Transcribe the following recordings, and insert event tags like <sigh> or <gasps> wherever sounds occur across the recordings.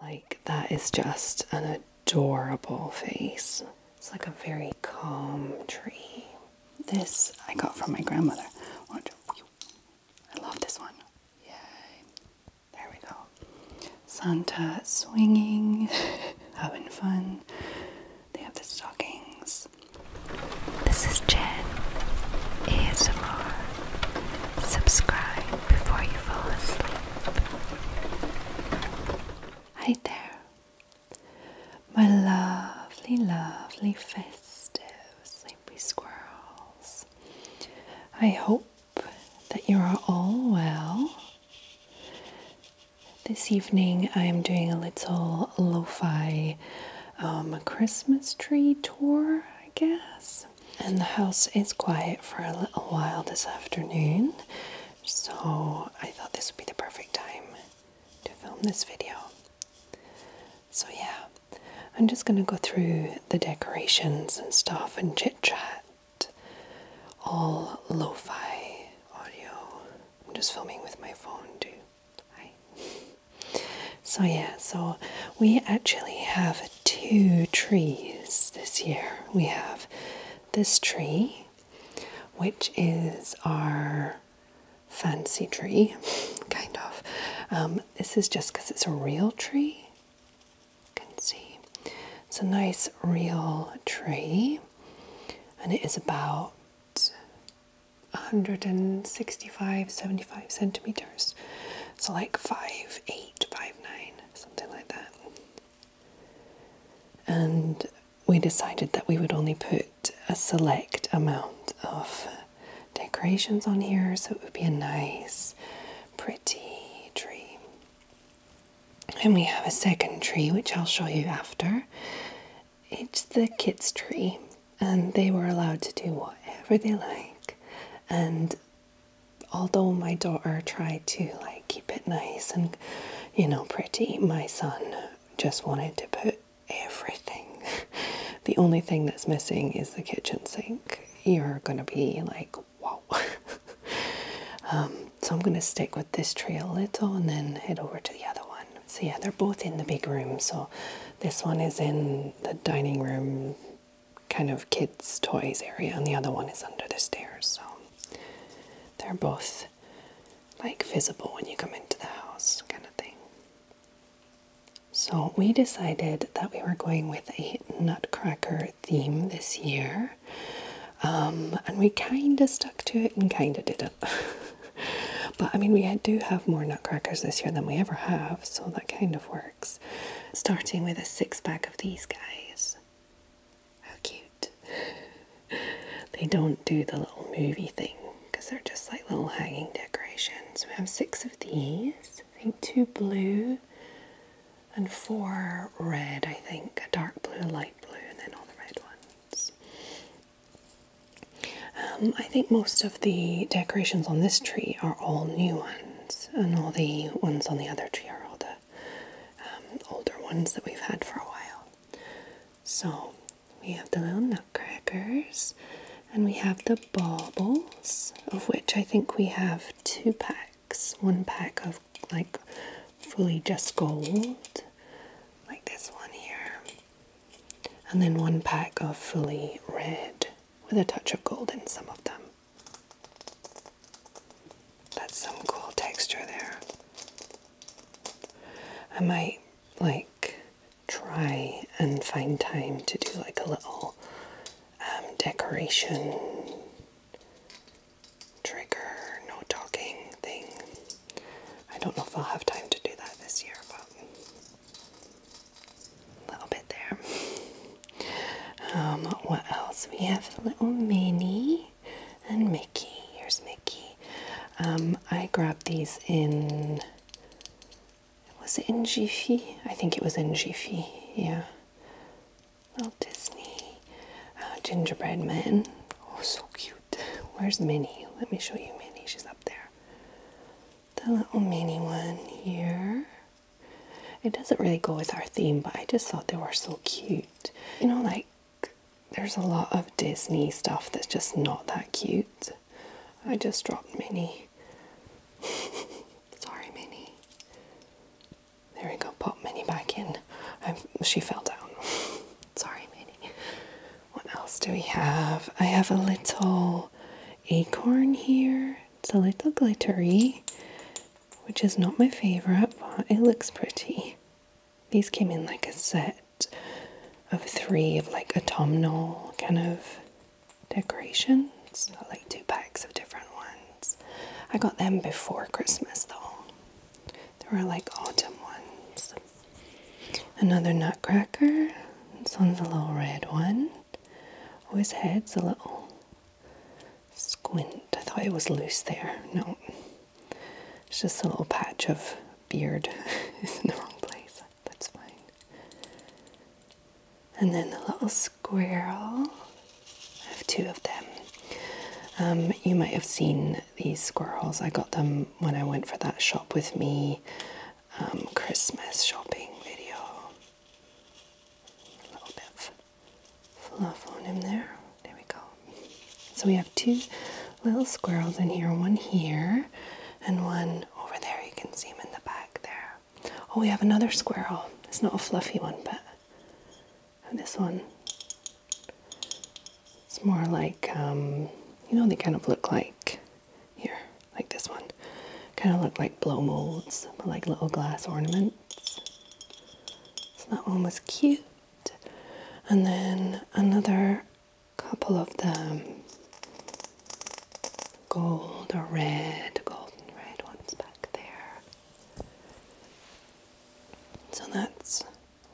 Like, that is just an adorable face. It's like a very calm tree. This I got from my grandmother. I love this one. Yay. There we go. Santa swinging, <laughs> having fun. They have the stockings. This is Jen. ASMR. Subscribe before you fall asleep. Hi there, my lovely, lovely festive sleepy squirrels. I hope that you are all well. This evening, I am doing a little lo fi um, Christmas tree tour, I guess and the house is quiet for a little while this afternoon, so I thought this would be the perfect time to film this video. So, yeah, I'm just going to go through the decorations and stuff and chit chat. All lo fi audio. I'm just filming with my phone too. Hi. <laughs> So, yeah, so we actually have two trees this year. We have this tree, which is our fancy tree, <laughs> kind of. Um, this is just because it's a real tree. You can see it's a nice real tree, and it is about 165 75 centimeters so like 5 8 5 9 something like that. And we decided that we would only put a select amount of decorations on here so it would be a nice, pretty tree. And we have a second tree which I'll show you after. It's the kids' tree, and they were allowed to do whatever they like, and although my daughter tried to like keep it nice and you know pretty, my son just wanted to put everything. <laughs> the only thing that's missing is the kitchen sink. You're gonna be like, wow. <laughs> Um, so I'm gonna stick with this tree a little and then head over to the other one. So yeah, they're both in the big room. So this one is in the dining room kind of kids' toys area, and the other one is under the stairs. So they're both like visible when you come into the house, kind of thing. So we decided that we were going with a nutcracker theme this year. Um, and we kind of stuck to it and kind of did it. <laughs> but I mean, we do have more nutcrackers this year than we ever have, so that kind of works starting with a six pack of these guys. How cute! <laughs> they don't do the little movie thing because they're just like little hanging decorations. We have six of these, I think two blue and four red, I think a dark blue, a light blue, and then all the red ones. Um, I think most of the decorations on this tree are all new ones and all the ones on the other tree are all the um, older ones that we've had for a while. So we have the little nutcrackers, and we have the baubles, of which I think we have two packs. One pack of like fully just gold, like this one here, and then one pack of fully red with a touch of gold in some of them. That's some cool texture there. I might like try and find time to do like a little um, decoration trigger, no talking thing. I don't know if I'll have time to do that this year, but a little bit there. Um, what else? We have little Minnie and Mickey. Here's Mickey. Um, I grabbed these in. Was it in Jiffy? I think it was in Jiffy. Yeah. Little Disney uh, gingerbread men. Oh, so cute. Where's Minnie? Let me show you Minnie. She's up there. The little Minnie one here. It doesn't really go with our theme, but I just thought they were so cute. You know, like there's a lot of Disney stuff that's just not that cute. I just dropped Minnie. <laughs> Sorry, Minnie. There we go, pop Minnie back in. she fell down. <laughs> Sorry, Minnie. What else do we have? I have a little acorn here. It's a little glittery, which is not my favorite, but it looks pretty. These came in like a set of three of like autumnal kind of decorations, like two packs of different ones. I got them before Christmas though. They were like autumn ones. Another nutcracker. This one's a little red one. Oh, his head's a little Squint. I thought it was loose there. No. It's just a little patch of beard. is <laughs> in the wrong place. That's fine. And then the little squirrel. I have two of them. Um, you might have seen these squirrels. I got them when I went for that shop with me um, Christmas shopping video. A little bit of fluff on him there. There we go. So we have two little squirrels in here, one here and one over there. You can see him in the back there. Oh, we have another squirrel. It's not a fluffy one, but this one. It's more like, um, you know, they kind of look like here like this one. Kind of look like blow molds, like little glass ornaments. So that one was cute. And then another couple of them gold or red, golden red ones back there. So that's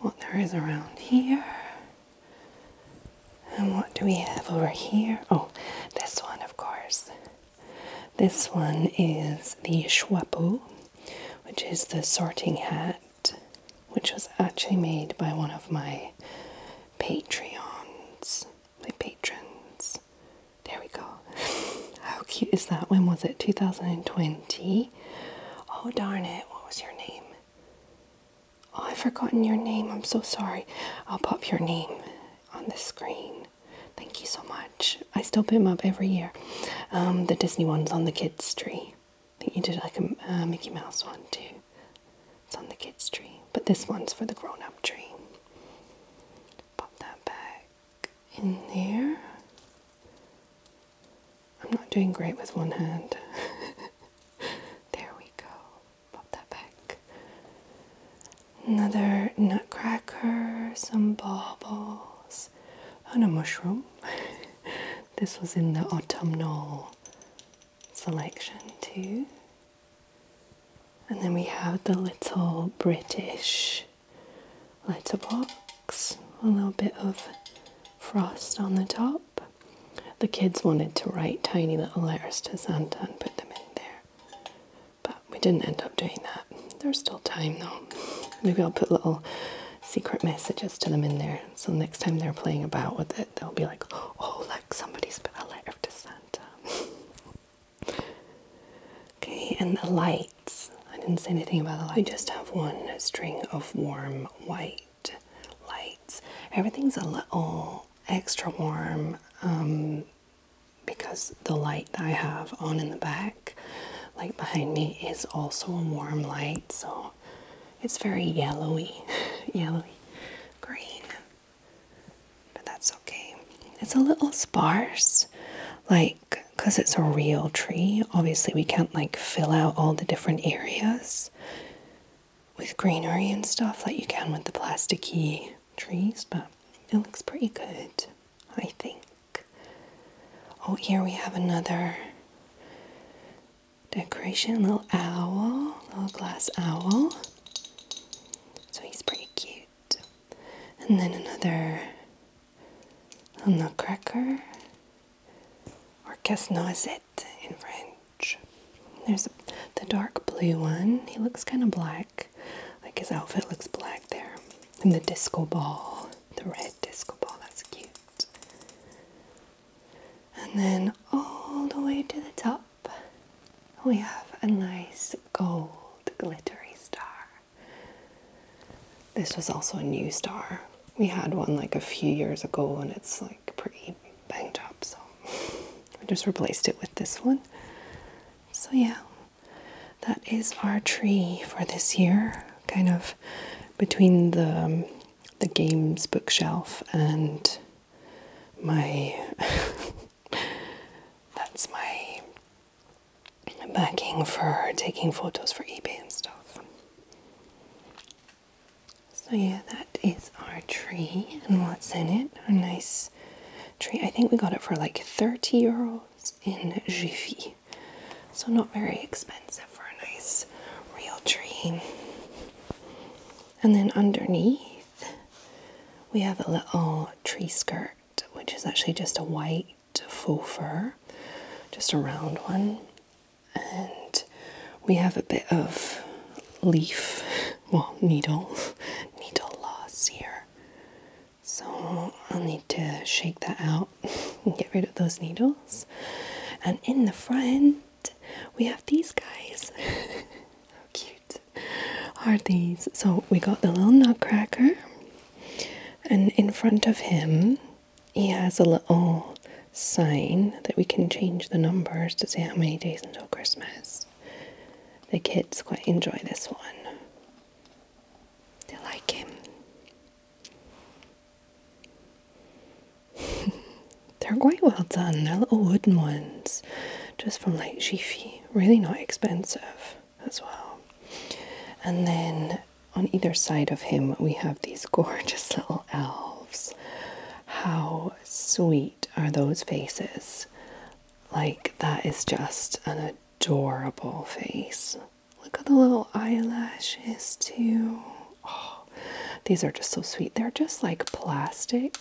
what there is around here. And what do we have over here? Oh, this one, of course. This one is the Schwappo, which is the sorting hat, which was actually made by one of my Patreons. My patrons. There we go. How cute is that? When was it? 2020? Oh, darn it. What was your name? Oh, I've forgotten your name. I'm so sorry. I'll pop your name on the screen. Thank you so much. I still pick them up every year. Um, the Disney one's on the kids' tree. I think you did like a uh, Mickey Mouse one too. It's on the kids' tree. But this one's for the grown up tree. Pop that back in there. I'm not doing great with one hand. <laughs> there we go pop that back. Another nutcracker, some baubles, and a mushroom. <laughs> this was in the autumnal selection too. And then we have the little British letterbox, a little bit of frost on the top. The kids wanted to write tiny little letters to Santa and put them in there but we didn't end up doing that. There's still time though. Maybe I'll put little secret messages to them in there so next time they're playing about with it, they'll be like, oh, like somebody's put a letter to Santa. <laughs> okay, and the lights. I didn't say anything about the lights. I just have one string of warm white lights. Everything's a little extra warm. Um, because the light that I have on in the back, like behind me, is also a warm light, so it's very yellowy, <laughs> yellowy green. But that's okay. It's a little sparse, like because it's a real tree. Obviously, we can't like fill out all the different areas with greenery and stuff like you can with the plasticky trees, but it looks pretty good, I think. Oh, here we have another decoration little owl, little glass owl. So he's pretty cute. And then another little nutcracker, or casse noisette in French. There's the dark blue one. He looks kind of black like his outfit looks black there. And the disco ball, the red disco ball, that's cute. And then all the way to the top, we have a nice gold glittery star. This was also a new star. We had one like a few years ago and it's like pretty banged up, so <laughs> we just replaced it with this one. So, yeah, that is our tree for this year, kind of between the, um, the games bookshelf and my. <laughs> that's my backing for taking photos for eBay and stuff. So, yeah, that is our tree and what's in it. A nice tree. I think we got it for like 30 euros in Jiffy. So not very expensive for a nice real tree. And then underneath we have a little tree skirt which is actually just a white faux fur, just a round one. And we have a bit of leaf, well, needle, <laughs> needle loss here. So I'll need to shake that out <laughs> and get rid of those needles. And in the front, we have these guys. <laughs> How cute are these? So we got the little nutcracker, and in front of him, he has a little sign that we can change the numbers to see how many days until Christmas the kids quite enjoy this one. They like him. <laughs> They're quite well done. They're little wooden ones, just from like Jiffy. Really not expensive as well. And then on either side of him, we have these <laughs> gorgeous little elves. How sweet are those faces? Like, that is just an adorable face. Look at the little eyelashes, too. Oh, these are just so sweet. They're just like plastic,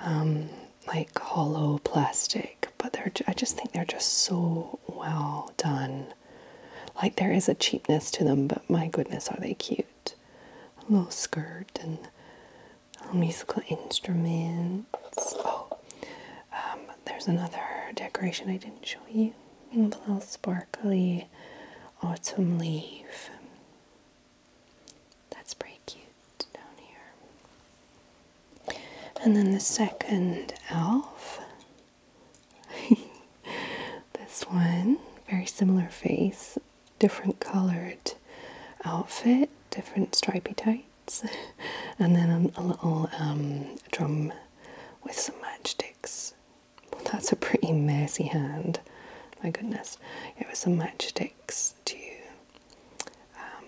um, like hollow plastic, but they're, I just think they're just so well done. Like, there is a cheapness to them, but my goodness, are they cute! A little skirt and little musical instruments. Oh, um, there's another decoration I didn't show you. A little sparkly autumn leaf. That's pretty cute down here. And then the second elf. <laughs> this one, very similar face different coloured outfit, different stripy tights, <laughs> and then a, little um, drum with some matchsticks. Well, that's a pretty messy hand. My goodness, it was some matchsticks to um,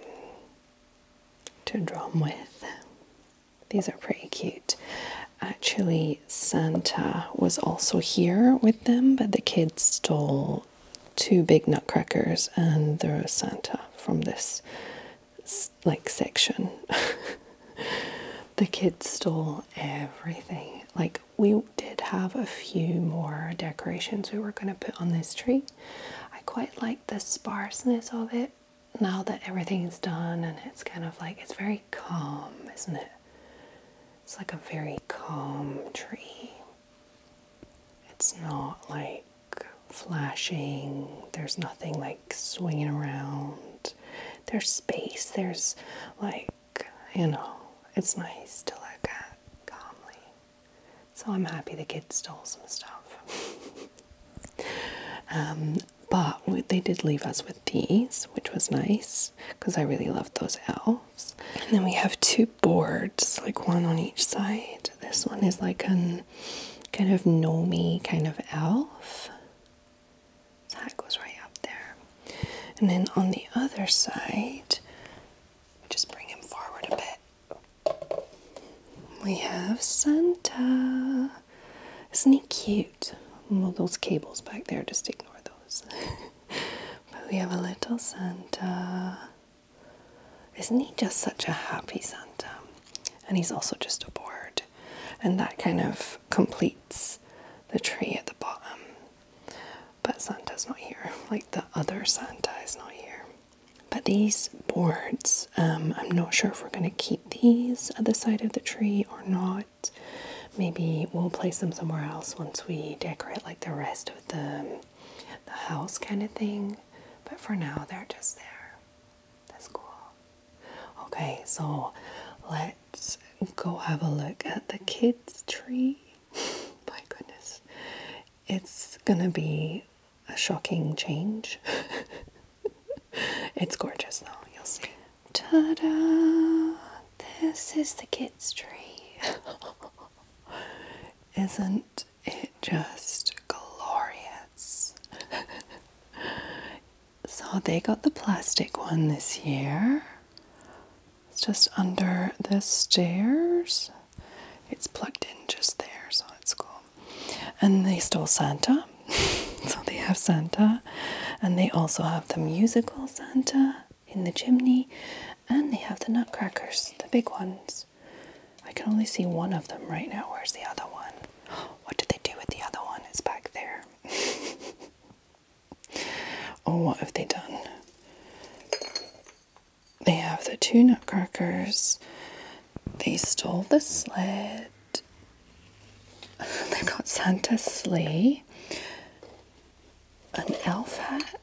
to drum with. These are pretty cute. Actually, Santa was also here with them, but the kids stole two big nutcrackers and the Santa from this like section. <laughs> the kids stole everything. Like we did have a few more decorations we were going to put on this tree. I quite like the sparseness of it now that everything's done and it's kind of like it's very calm, isn't it? It's like a very calm tree. It's not like flashing, there's nothing like swinging around. There's space, there's like, you know, it's nice to look at calmly. So I'm happy the kids stole some stuff. <laughs> Um, but they did leave us with these, which was nice because I really loved those elves. And then we have two boards, like one on each side. This one is like a kind of gnomey kind of elf. That goes right up there. And then on the other side, just bring him forward a bit. We have Santa. Isn't he cute? Well, those cables back there, just ignore those. <laughs> but we have a little Santa. Isn't he just such a happy Santa? And he's also just a board. And that kind of completes the tree at the bottom. But Santa's not here. Like the other Santa is not here. But these boards, um, I'm not sure if we're going to keep these at the side of the tree or not. Maybe we'll place them somewhere else once we decorate like the rest the, the house kind of thing. But for now, they're just there. That's cool. Okay, so let's go have a look at the kids' tree. <laughs> My goodness. It's gonna be a shocking change. <laughs> it's gorgeous though, you'll see. Ta da! This is the kids' tree. <laughs> Isn't it just glorious? <laughs> so they got the plastic one this year. It's just under the stairs. It's plugged in just there, so it's cool. And they stole Santa. <laughs> so they have Santa. And they also have the musical Santa in the chimney, and they have the nutcrackers, the big ones. I can only see one of them right now. Where's the other one? <gasps> What did they do with the other one? It's back there. <laughs> oh, what have they done? They have the two nutcrackers. They stole the sled. <laughs> they got Santa's sleigh, an elf hat,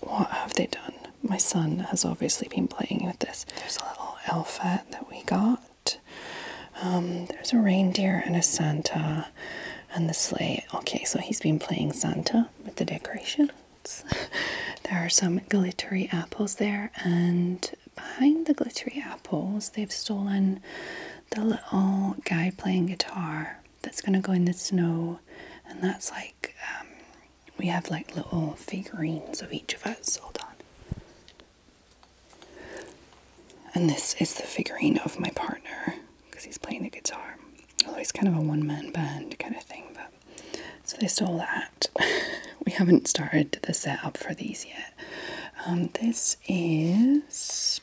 what have they done? My son has obviously been playing with this. There's a little alpha that we got. Um, there's a reindeer and a Santa and the sleigh. Okay, so he's been playing Santa with the decorations. <laughs> there are some glittery apples there, and behind the glittery apples, they've stolen the little guy playing guitar that's going to go in the snow, and that's like um, we have like little figurines of each of us. Hold on. And this is the figurine of my partner because he's playing the guitar. Although he's kind of a one man band kind of thing, but so they stole that. <laughs> we haven't started the setup for these yet. Um, this is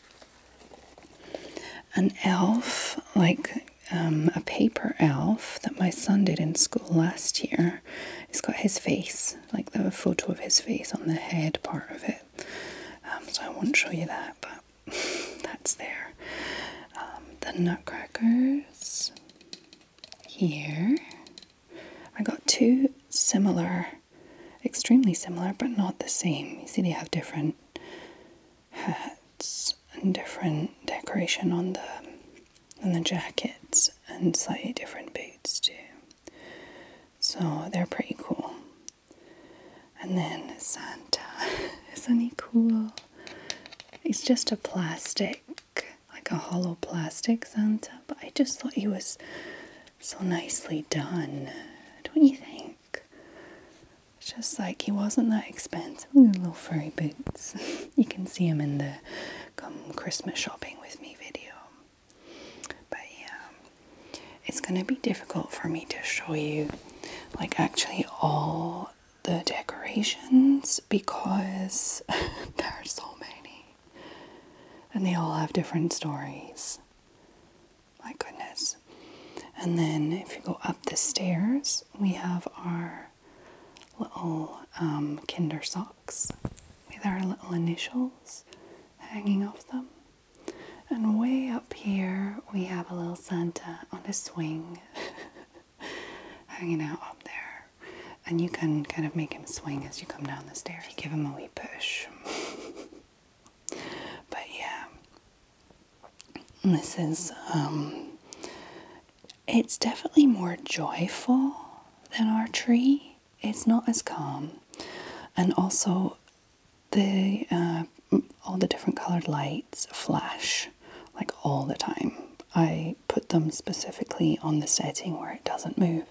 an elf, like um, a paper elf that my son did in school last year, he has got his face, like the photo of his face on the head part of it. Um, so I won't show you that, but <laughs> that's there. Um, the nutcrackers here. I got two similar, extremely similar, but not the same. You see, they have different hats and different decoration on the on the jackets and slightly different boots too. So they're pretty cool. And then Santa, <laughs> isn't he cool? He's just a plastic, like a hollow plastic Santa, but I just thought he was so nicely done, don't you think? It's just like he wasn't that expensive. little furry boots. <laughs> you can see him in the come Christmas shopping with me video. But yeah, it's gonna be difficult for me to show you like actually all the decorations because <laughs> there are so many and they all have different stories. My goodness. And then if you go up the stairs, we have our little um, kinder socks with our little initials hanging off them. And way up here, we have a little Santa on a swing <laughs> hanging out up there. And you can kind of make him swing as you come down the stairs. give him a wee push. <laughs> but yeah, this is, um, it's definitely more joyful than our tree. It's not as calm. And also, the uh, all the different colored lights flash like all the time. I put them specifically on the setting where it doesn't move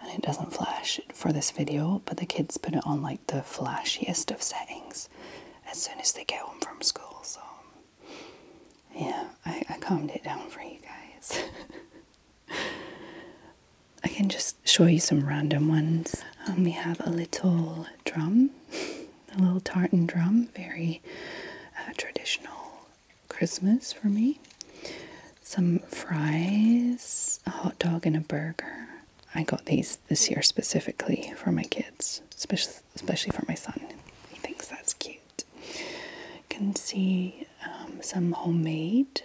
and it doesn't flash for this video, but the kids put it on like the flashiest of settings as soon as they get home from school. So, yeah, I, calmed it down for you guys. <laughs> I can just show you some random ones. Um, we have a little drum, a little tartan drum, very uh, traditional Christmas for me. Some fries, a hot dog, and a burger. I got these this year specifically for my kids, especially especially for my son. He thinks that's cute. You can see um, some homemade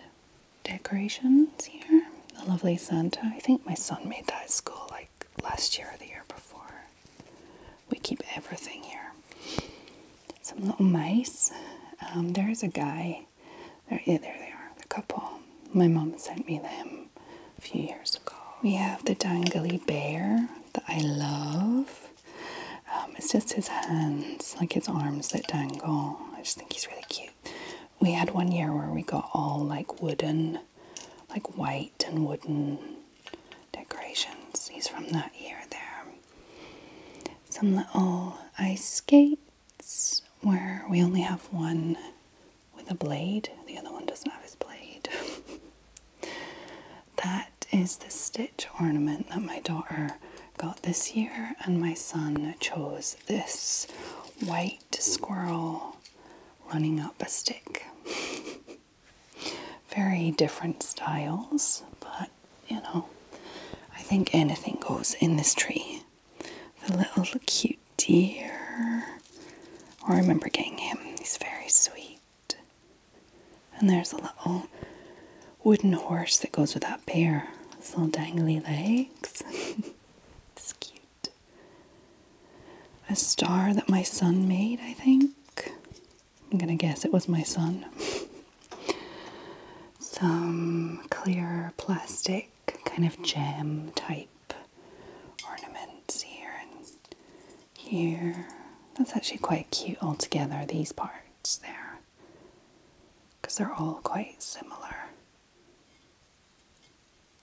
decorations here. A lovely Santa. I think my son made that at school like last year or the year before. We keep everything here. Some little mice. Um, there's a guy there, yeah, there they are. The couple. My mom sent me them a few years ago. We have the dangly bear that I love. Um, it's just his hands, like his arms that dangle. I just think he's really cute. We had one year where we got all like wooden, like white and wooden decorations. He's from that year there. Some little ice skate where we only have one with a blade, the other one doesn't have his blade. <laughs> that is the stitch ornament that my daughter got this year, and my son chose this white squirrel running up a stick. <laughs> Very different styles, but you know, I think anything goes in this tree the little cute deer. Oh, I remember getting him, he's very sweet. And there's a little wooden horse that goes with that bear. His little dangly legs. <laughs> it's cute. A star that my son made, I think. I'm gonna guess it was my son. <laughs> Some clear plastic kind of gem type ornaments here and here. That's actually quite cute altogether, these parts there, because they're all quite similar,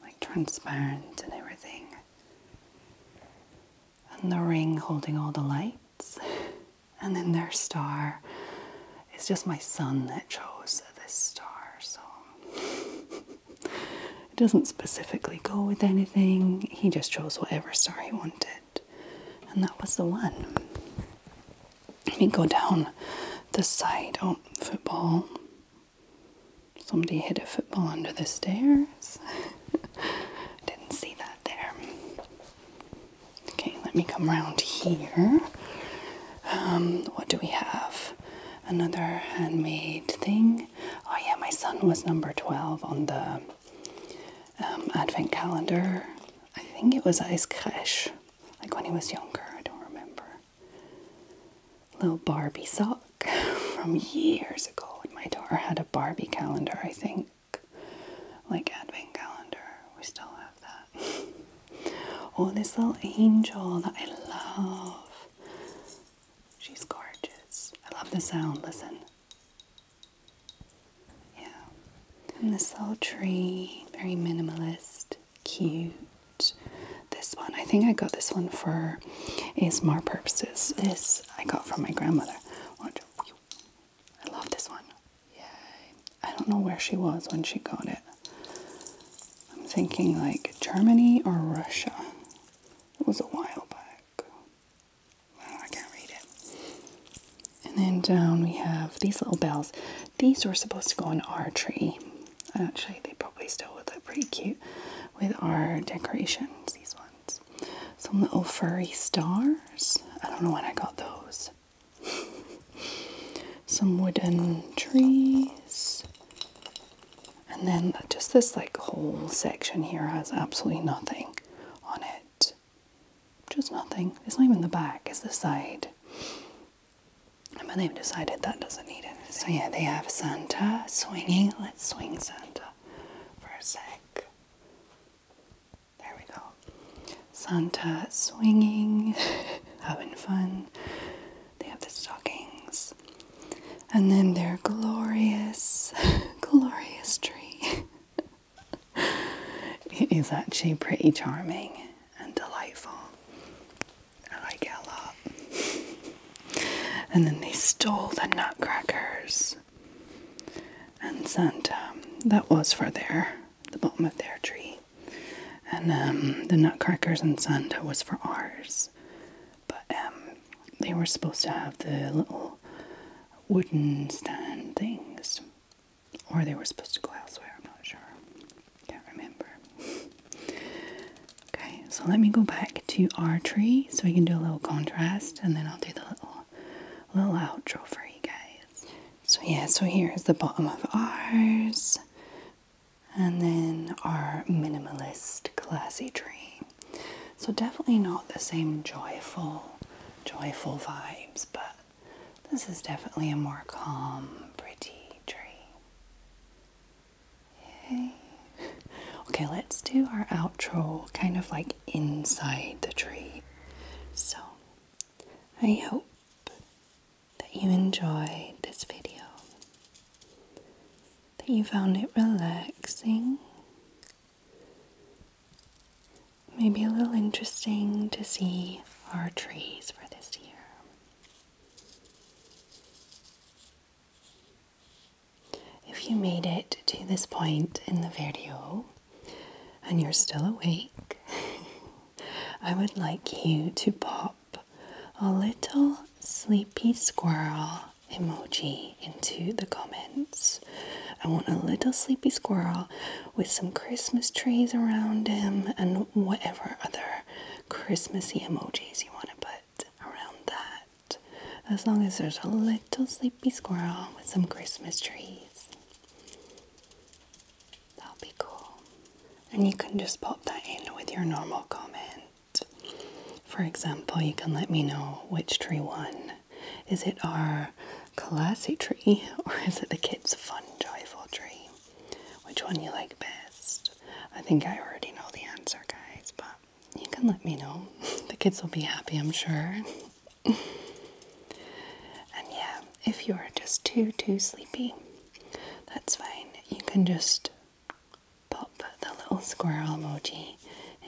like transparent and everything. And the ring holding all the lights, <laughs> and then their star. It's just my son that chose this star, song it doesn't specifically go with anything. He just chose whatever star he wanted, and that was the one. Let me go down the side. Oh, football. Somebody hit a football under the stairs. <laughs> Didn't see that there. Okay, let me come around here. Um, what do we have? Another handmade thing. Oh, yeah, my son was number 12 on the um, advent calendar. I think it was Ice Crèche, like when he was younger. I don't remember. Little Barbie sock <laughs> from years ago when my daughter had a Barbie calendar, I think. Like advent calendar. We still have that. <laughs> oh, this little angel that I love. She's gorgeous. I love the sound. Listen. Yeah. And this little tree, very minimalist, cute. This one, I think I got this one for ASMR purposes. This I got from my grandmother. I love this one. Yay. I don't know where she was when she got it. I'm thinking like Germany or Russia. It was a while back. I can't read it. And then down we have these little bells. These were supposed to go on our tree. Actually, they probably still would look pretty cute with our decorations, these ones. Some little furry stars. I don't know when I got those some wooden trees. And then just this like whole section here has absolutely nothing on it. Just nothing. It's not even the back, it's the side. And then they've decided that doesn't need it. So yeah, they have Santa swinging. Let's swing Santa for a sec. There we go. Santa swinging, <laughs> having fun. They have the stockings. And then their glorious, <laughs> glorious tree. <laughs> it is actually pretty charming and delightful. I like it a lot. and then they stole the nutcrackers. And Santa, um, that was for their the bottom of their tree. And um, the nutcrackers and Santa was for ours. But um, they were supposed to have the little wooden stand things. Or they were supposed to go elsewhere, I'm not sure. Can't remember. <laughs> okay, so let me go back to our tree so we can do a little contrast and then I'll do the little little outro for you guys. So yeah, so here's the bottom of ours. And then our minimalist, classy tree. So definitely not the same joyful, joyful vibes, but this is definitely a more calm, pretty tree. Okay, let's do our outro kind of like inside the tree. So I hope that you enjoyed this video, that you found it relaxing, maybe a little interesting to see our trees for this year. If you made it to this point in the video and you're still awake, <laughs> I would like you to pop a little sleepy squirrel emoji into the comments. I want a little sleepy squirrel with some Christmas trees around him and whatever other Christmassy emojis you want to put around that. As long as there's a little sleepy squirrel with some Christmas trees. That'll be cool. And you can just pop that in with your normal comment. For example, you can let me know which tree won. Is it our classy tree <laughs> or is it the kids' fun, joyful tree? Which one you like best? I think I already know the answer, guys, but you can let me know. <laughs> The kids will be happy, I'm sure. <laughs> and yeah, if you are just too, too sleepy, that's fine. You can just pop the little squirrel emoji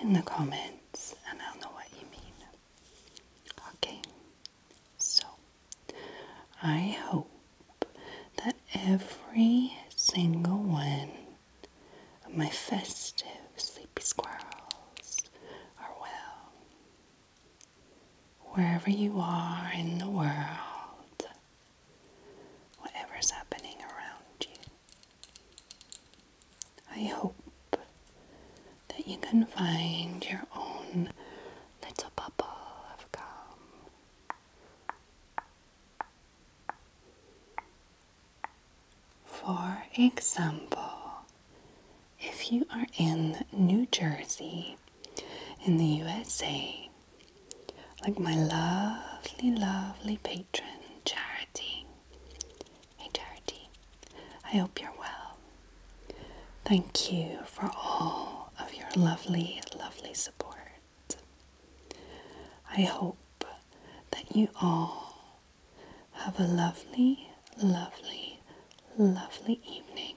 in the comments and I'll know what you mean. Okay, so I hope that every single one of my festive sleepy squirrels are well. Wherever you are in the world, whatever's happening around you, I hope that you can find your own little bubble of calm. For example, if you are in New Jersey, in the USA, like my lovely, lovely patron, Charity. Hey, Charity, I hope you're well. Thank you for all of your lovely, lovely support. I hope that you all have a lovely, lovely, lovely evening